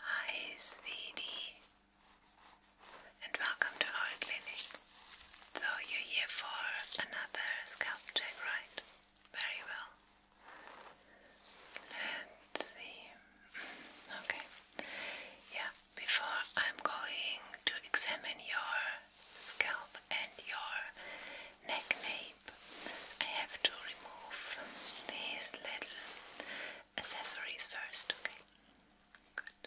Hi, sweetie, and welcome to our clinic. So, you're here for another scalp check, right? Very well. Let's see. Okay. Yeah, before I'm going to examine your scalp and your neck, I have to remove these little accessories first, okay? Good.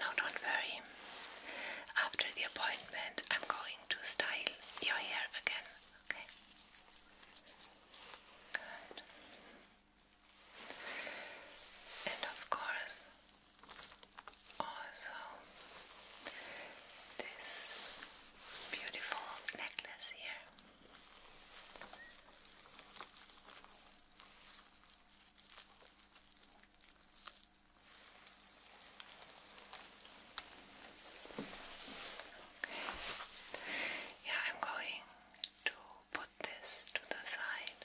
No, don't worry. After the appointment, I'm going to style your hair again, okay? Good. And of course, also this beautiful necklace here. Yeah, I'm going to put this to the side,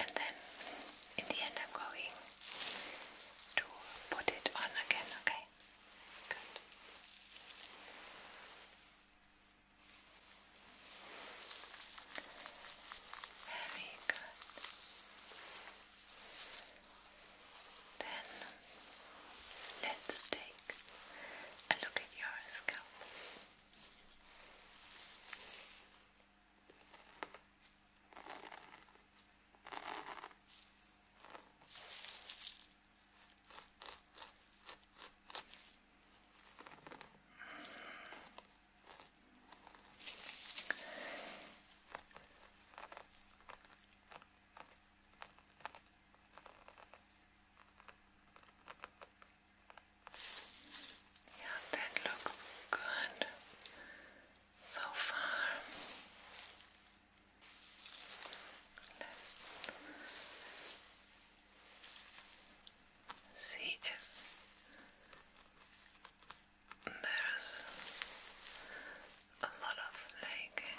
and then in the end, I'm going to put it on again. Okay. Good. Very Then let's take a look at your scalp. Yeah, that looks good so far. See if there's a lot of flaking.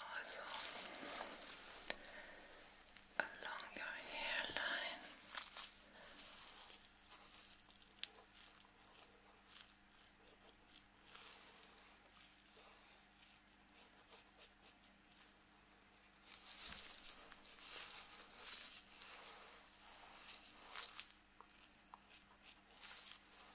also along your hairline.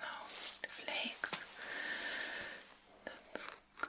Now the flakes. That's good.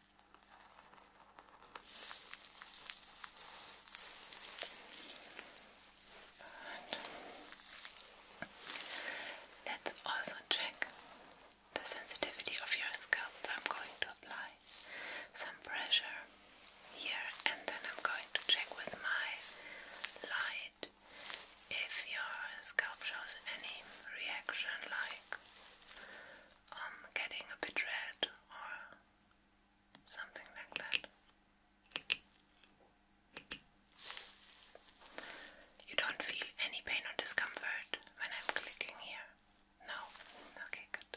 Let's also check the sensitivity of your scalp. So I'm going to apply some pressure here and then I'm going to check with my light if your scalp shows any reaction like I'm um, getting a bit red or something like that. You don't feel any pain or discomfort when I'm clicking here? No? Okay, good.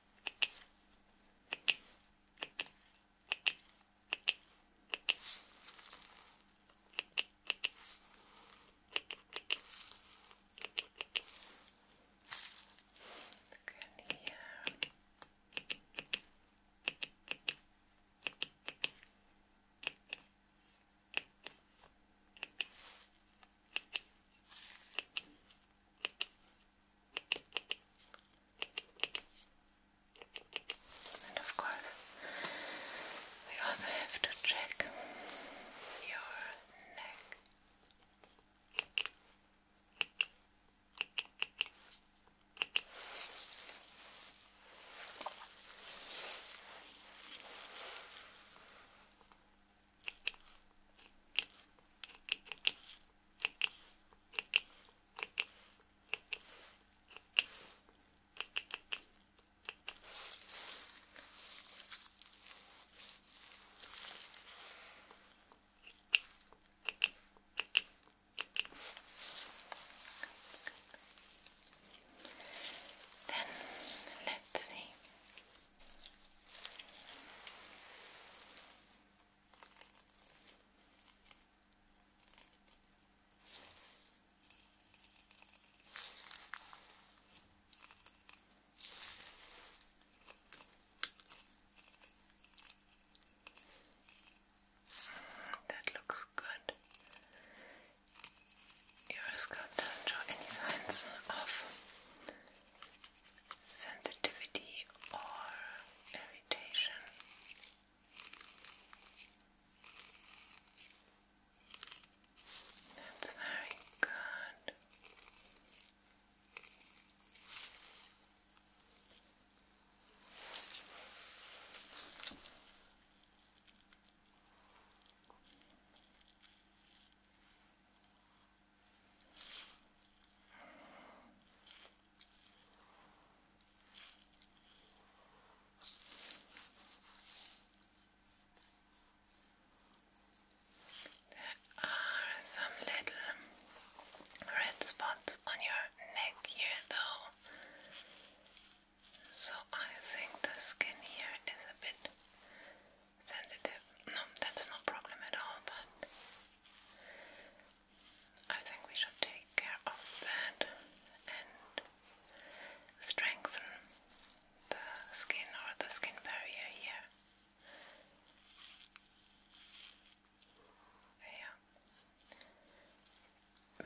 Look in here. Okay. And of course, we also have to check your neck. Then let's see. That looks good. Your scalp doesn't show any signs of sensitivity or irritation. That's very good. There are some little red spots on your neck here, though, so I think the skin here is a bit sensitive. No, that's no problem at all, but I think we should take care of that and strengthen the skin or the skin barrier here. Yeah.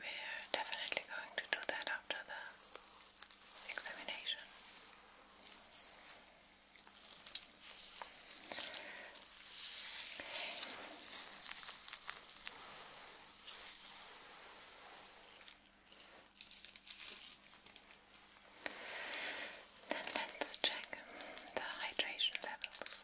We're definitely going to do that after the examination. Then let's check the hydration levels.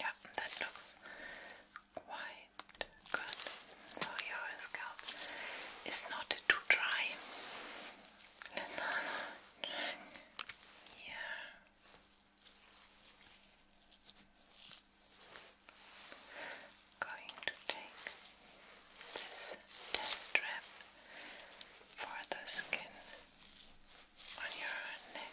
Yeah, that looks quite good. So your scalp is not too dry. Yeah. Going to take this test strap for the skin on your neck.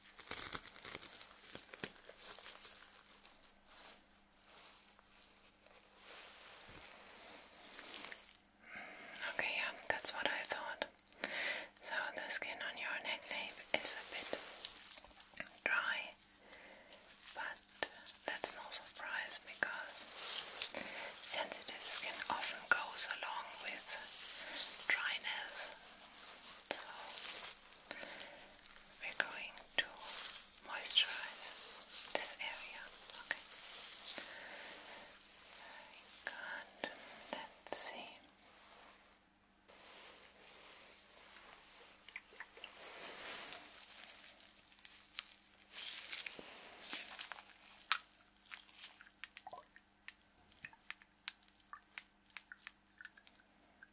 Okay, yeah, that's what I thought. So the skin on your neck nape is a bit dry, but that's no surprise because sensitive skin often goes along with dryness. So we're going to moisturize this area, okay? Very good. Let's see.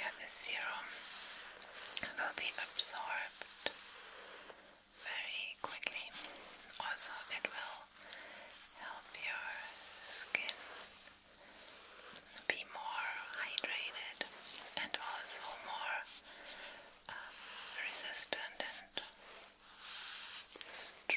Yeah, the serum will be absorbed very quickly. Also, it will help your skin be more hydrated and also more um, resistant and stronger.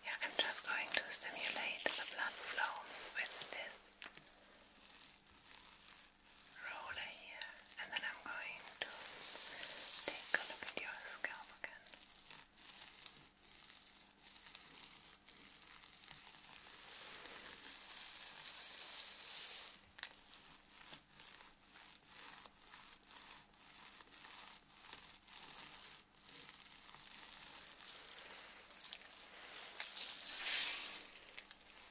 Yeah, I'm just going to stimulate the blood flow with this roller here, and then I'm going to take a look at your scalp again.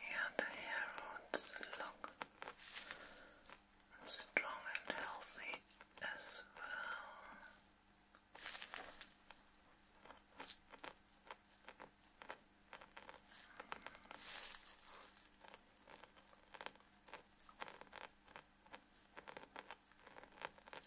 Yeah, the hair roots look strong and healthy as well.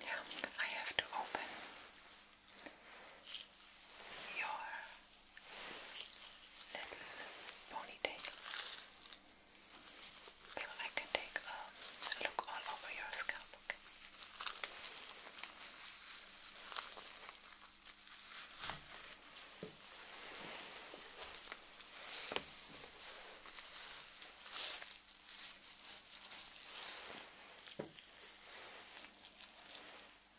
Yeah, I have to open your little ponytail. I can take a look all over your scalp. Okay.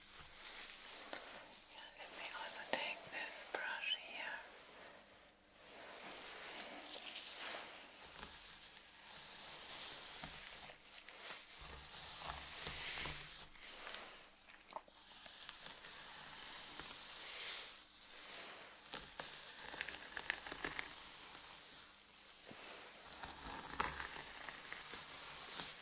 Yeah, let me also take this brush here. Okay.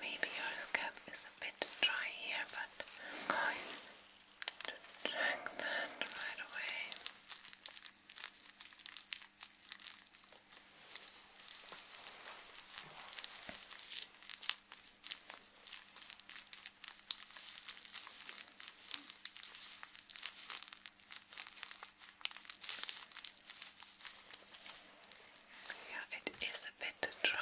Maybe your scalp is a bit dry here, but I'm going to drag that right away. Yeah, it is a bit dry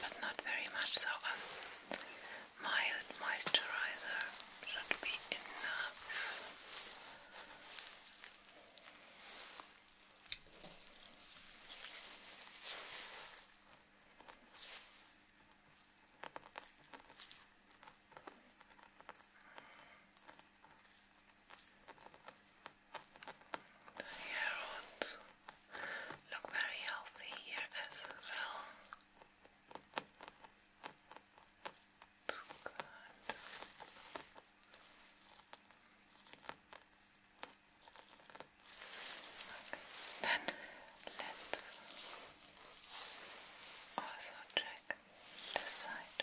but not very much, so a um, mild moisturizer should be enough. The hair look very healthy here as well. good. Then let's also check this side.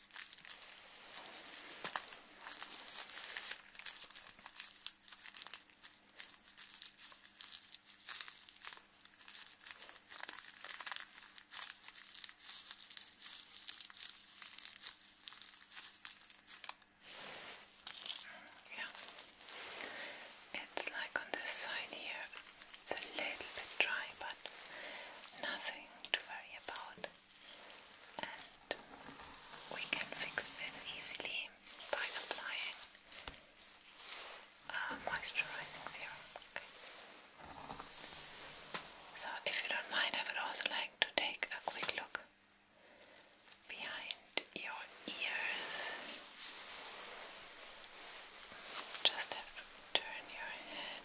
Yeah, it's like on this side here, it's a little bit dry, but nothing to worry about and we can fix this easily by applying uh, moisturizing serum. So, if you don't mind, I would also like to take a quick look behind your ears. Just have turn your head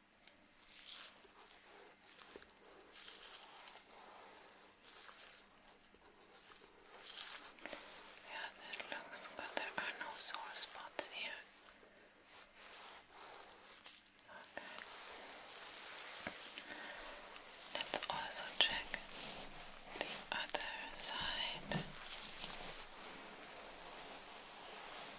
Yeah, that looks good. There are no sore spots here. Okay. Let's also check the other side.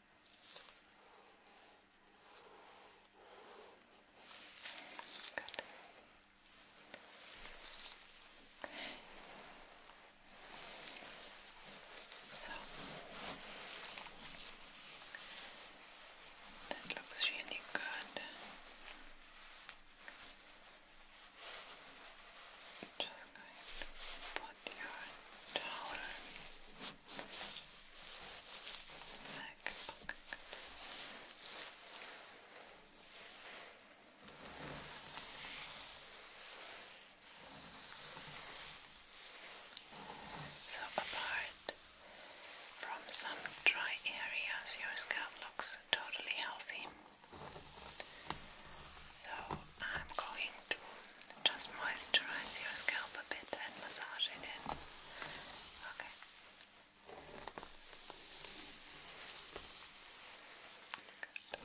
Good. Okay. that looks really good. Just going to put your towel Back pocket. apart from some dry areas, your scalp looks totally healthy. So I'm going to just moisturize your scalp a bit and massage it in. Okay. Good.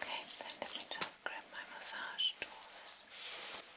Okay, then let me just grab my massage tools. Okay,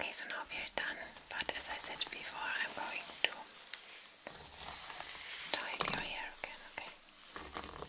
Okay, so now we are done, but as I said before, I'm going to style your hair again, okay?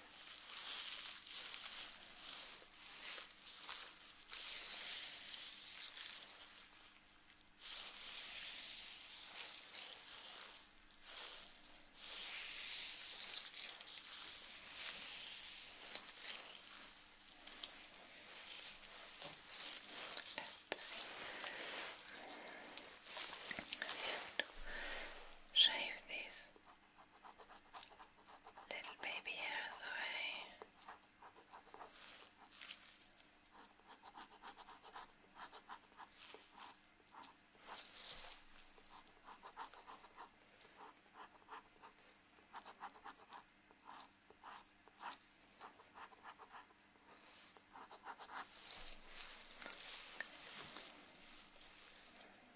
and shave this Little baby hair of the way.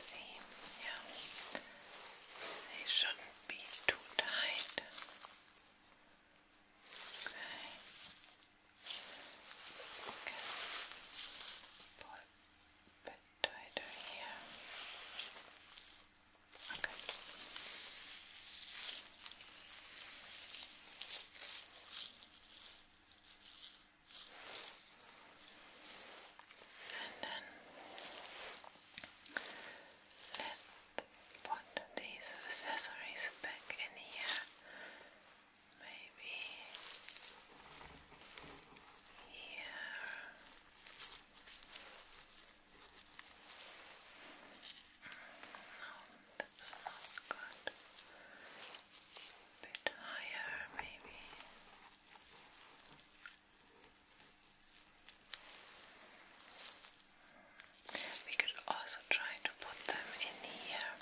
seam, yeah. They should be too tight. here. Okay. Okay and then let put these accessories back in here, maybe here. No, mm, that's not good. A bit higher, maybe. We could also try to put them in here.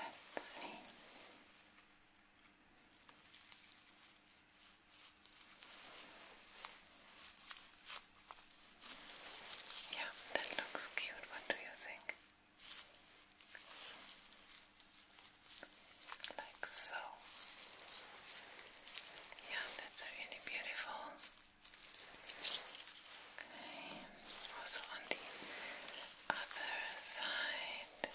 Uh, yeah, that looks cute. What do you think? Like so. Yeah, that's really beautiful. Okay, also on the other side.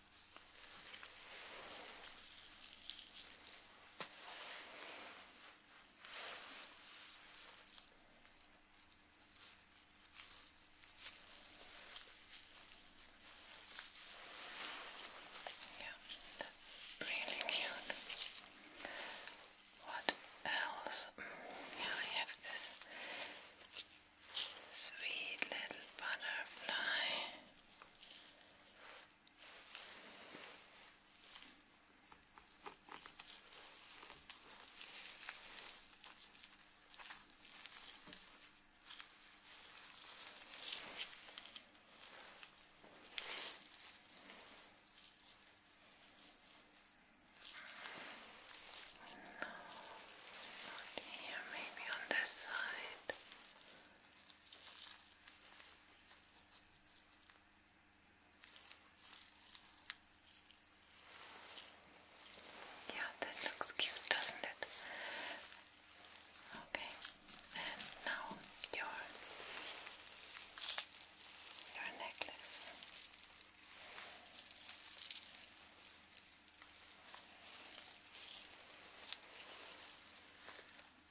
Yeah, that's really cute. What else? Mm, yeah, we have this sweet little butterfly. No, not here, maybe on this side. Yeah, that looks cute, doesn't it? Okay, and now your your necklace.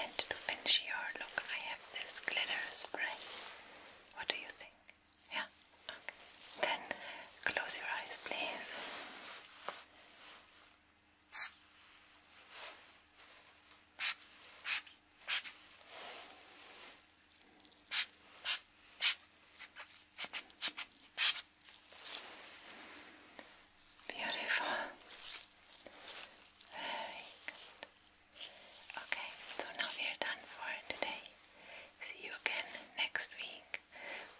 And to finish your look, I have this glitter spray. What do you think? Yeah? Then close your eyes, please. Beautiful. Very good. Okay, so now we are done for today. See you again next week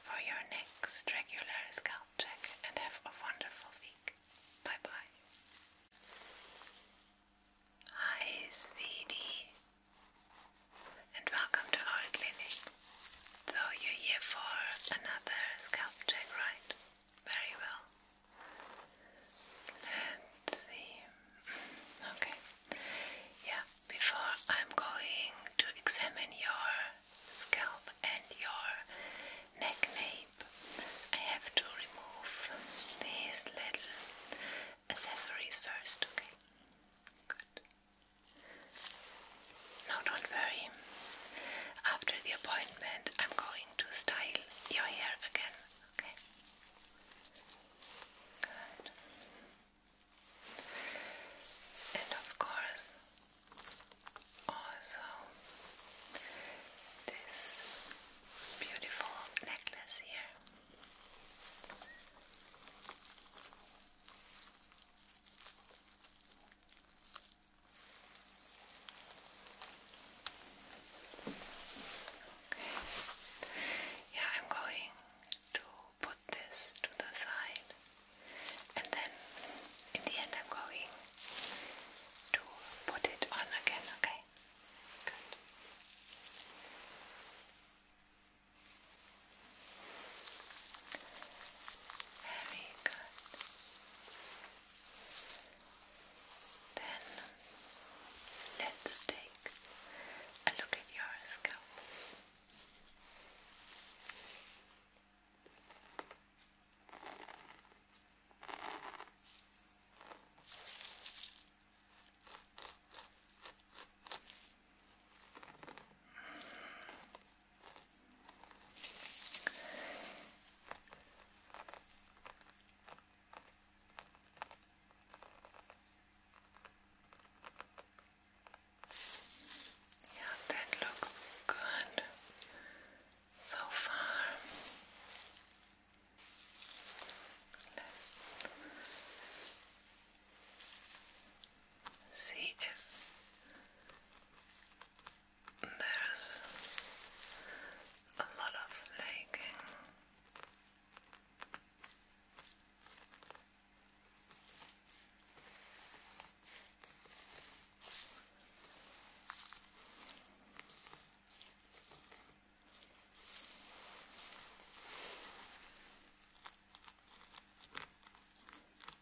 for your next regular scalp check and have a wonderful week. Bye bye. Hi, and welcome to our clinic. So you're here for another scalp check, right? Very well. Let's see. Okay. Yeah, before I'm going to examine your scalp and your neck nape, I have to remove these little accessories first, okay? Good. Now don't worry. After the appointment, I'm going to style your hair again, okay? Good. And of course, also this beautiful necklace here. Okay. Yeah, I'm going to put this to the side, and then in the end, I'm going to put it on again. Okay. Very good. Then let's take a look at your scalp. Yeah, that looks good so far see if there's a lot of flaking. Also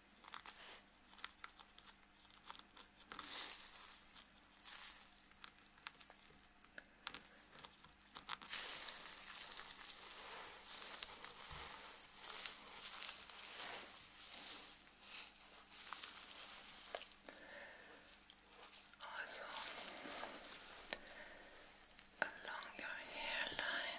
along your hairline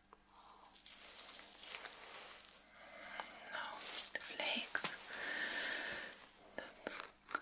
Now the flakes. That's good.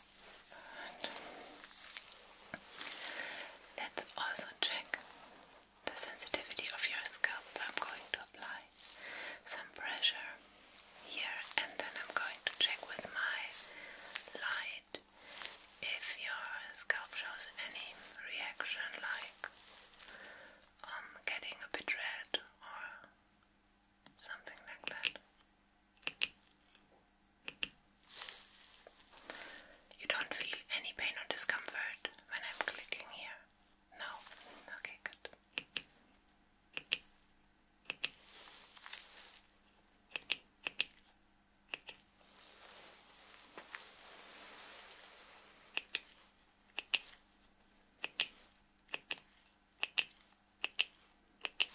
Let's also check the sensitivity of your scalp. So I'm going to apply some pressure here and then I'm going to check with my light if your scalp shows any reaction like um, getting a bit red or something like that. You don't feel any pain or discomfort when I'm clicking here? No? Okay, good. Look here. Okay.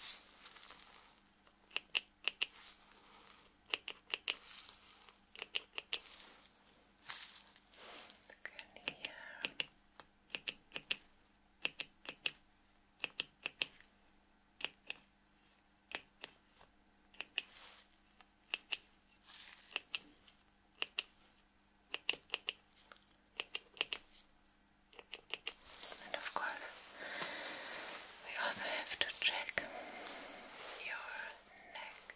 And of course, we also have to check your neck.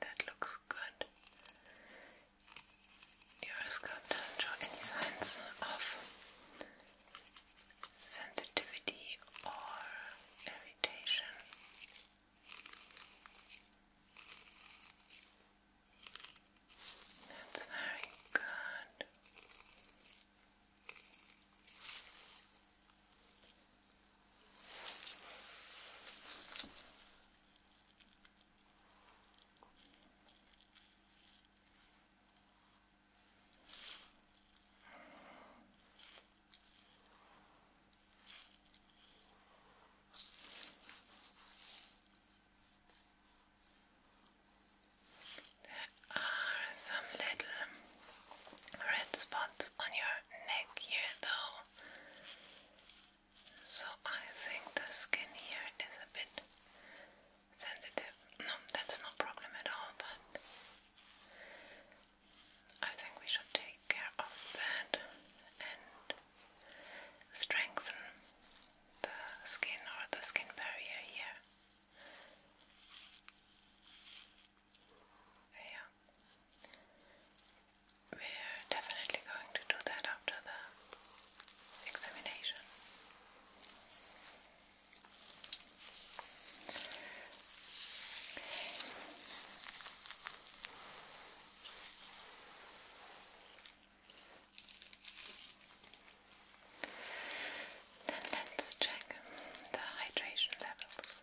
That looks good. Your scalp doesn't show any signs of sensitivity or irritation. That's very good. There are some little red spots on your neck here, though, so I think the skin here is a bit sensitive. No, that's no problem at all, but I think we should take care of that strengthen the skin or the skin barrier here. Yeah. We're definitely going to do that after the examination. Then let's check the hydration levels.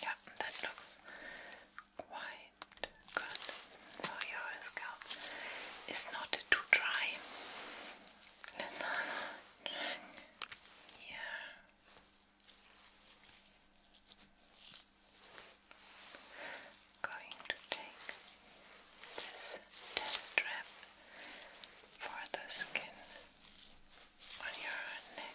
Yeah, that looks quite good for your scalp. It's not too dry. Yeah going to take this test strap for the skin on your neck.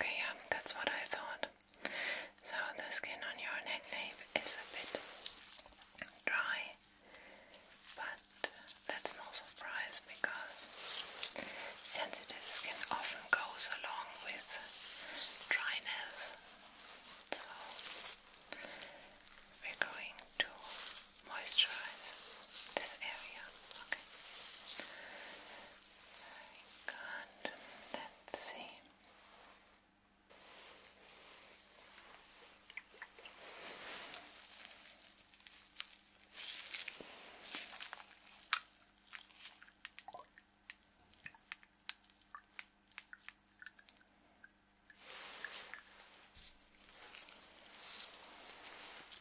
Okay, yeah, that's what I thought. So the skin on your neck nape is a bit dry, but that's no surprise because sensitive skin often goes along with dryness. So we're going to moisturize this area. Okay. Very Let's see.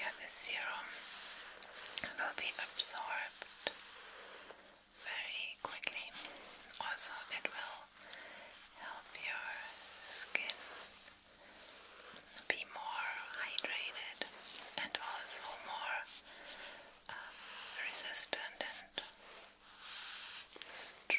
Yeah, the serum will be absorbed very quickly. Also, it will help your skin be more hydrated and also more resistant and stronger.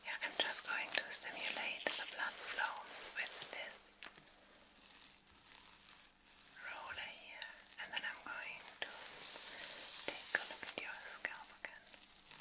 Yeah, I'm just going to stimulate the blood flow with this roller here, and then I'm going to take a look at your scalp again.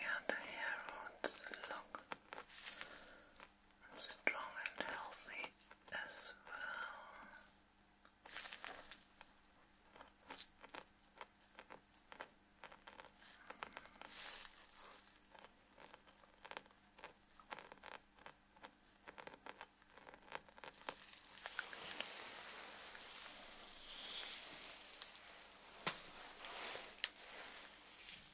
Yeah, the hair roots look strong and healthy as well.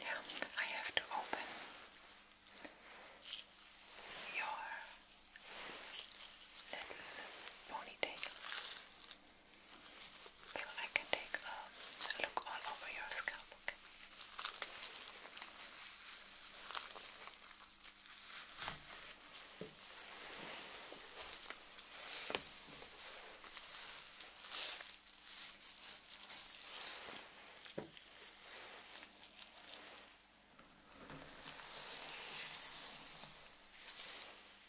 Yeah, I have to open your little ponytail. But I can take a look all over your scalp, Okay, yeah,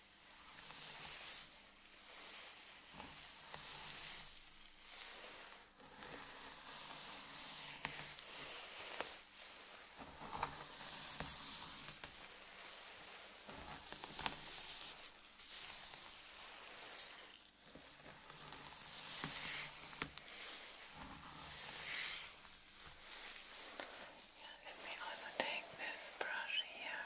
let me also take this brush here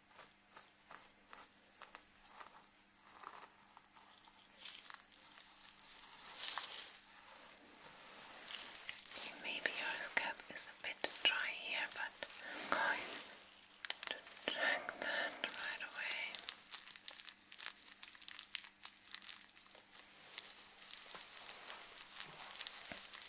Maybe your scalp is a bit dry here, but I'm going to drag that right away. Okay.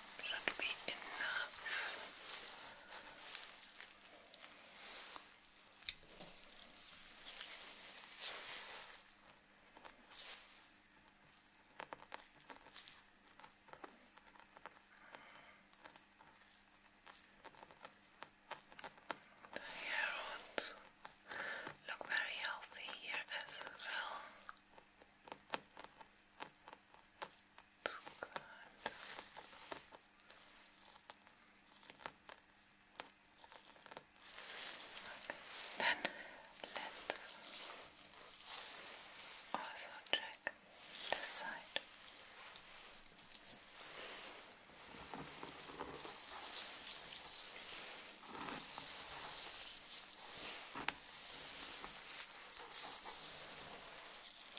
should be enough. The hair look very healthy here as well. It's good. Okay. Then let's also check this side. Okay.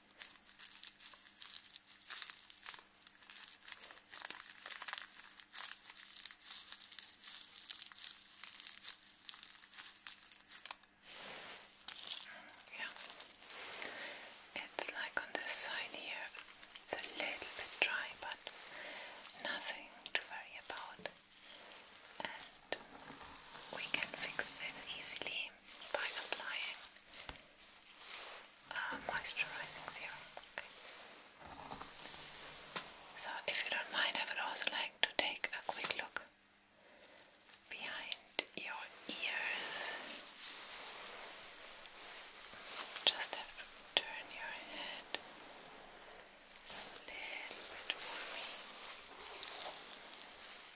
Yeah, it's like on this side here, it's a little bit dry, but nothing to worry about, and we can fix this easily by applying uh, moisturizing serum. So, if you don't mind, I would also like to take a quick look behind your ears. Just have to turn your head a little bit for me.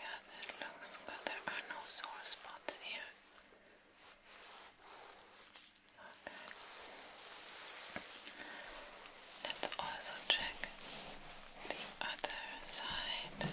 Yeah, that looks good. There are no sore spots here. Let's also check the other side.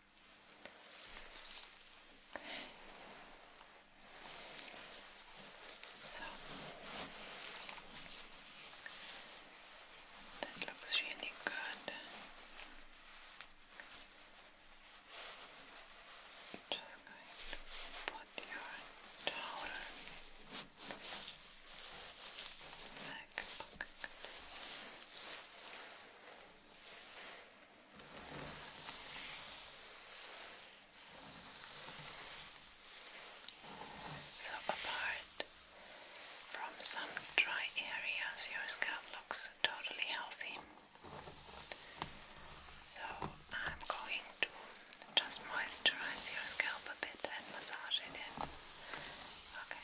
Okay. So that looks really good. Just going to put your towel back apart from some dry areas, your scalp looks totally healthy. So I'm going to just moisturize your scalp a bit and massage it in. Okay.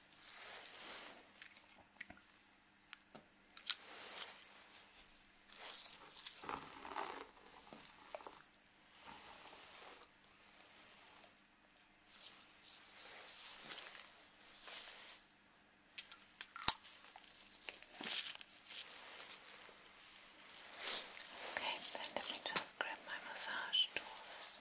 Okay, then let me just grab my massage tools.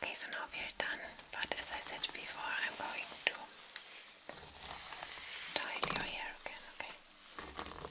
Okay, so now we are done, but as I said before, I'm going to style your hair again, okay? Okay,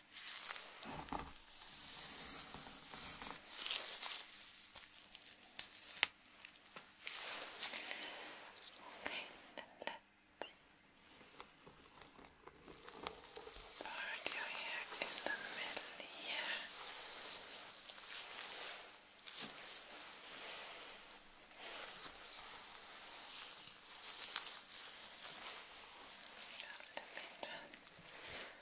Okay, then let's part your hair in the middle here. Just a bit.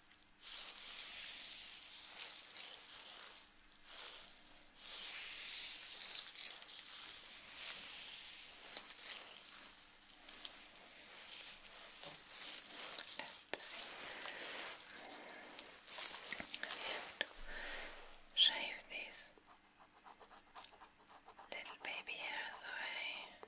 And shave these little baby hairs away.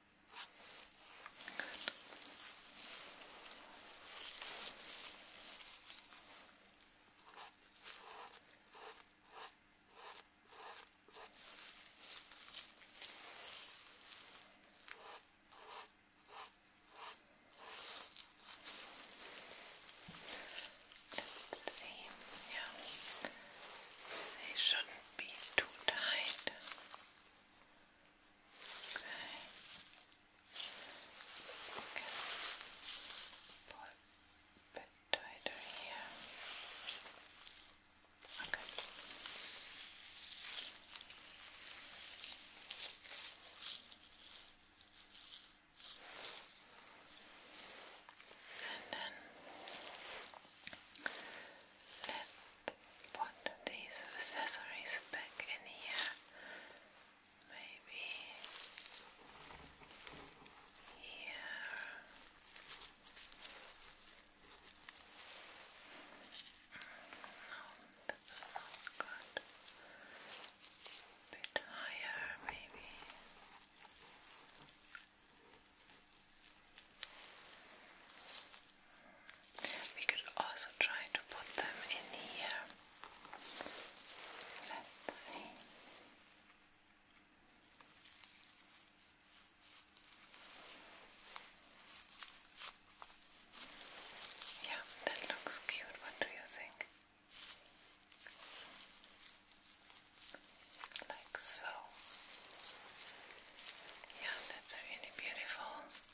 Let's they shouldn't be too tight. Okay. Okay. a bit tighter here. Okay. And then Let's put these accessories back in here. Maybe here. No, that's not good. A bit higher, maybe. We could also try to put them in here. Uh, let's see. Yeah, that looks cute. What do you think? Like so. Yeah, that's really beautiful.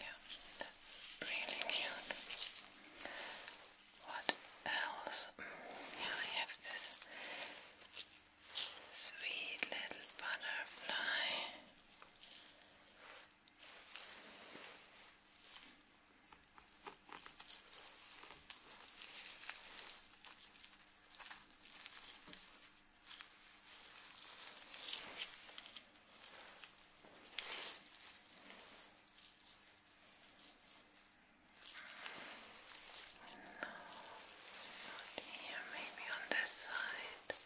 Yeah, that's really cute. What else? Yeah, I have this sweet little butterfly. Not here, maybe on this side.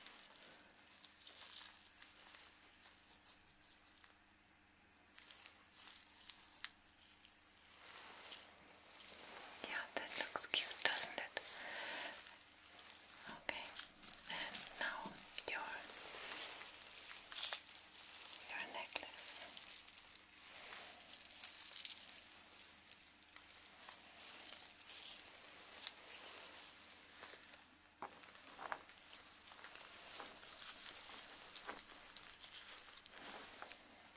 Yeah, that looks cute, doesn't it? Okay, and now your your necklace.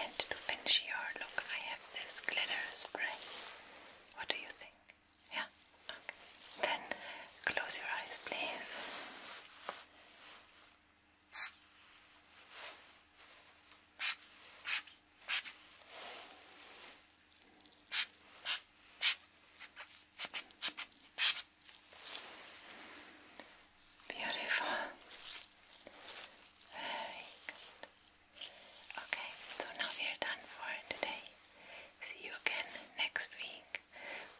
And to finish your look, I have this glitter spray. What do you think? Yeah? Okay. Then close your eyes, please. Beautiful. Very good. Okay, so now we are done for today. See you again next week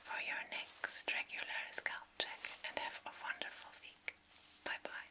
for your next regular scalp check and have a wonderful week. Bye bye.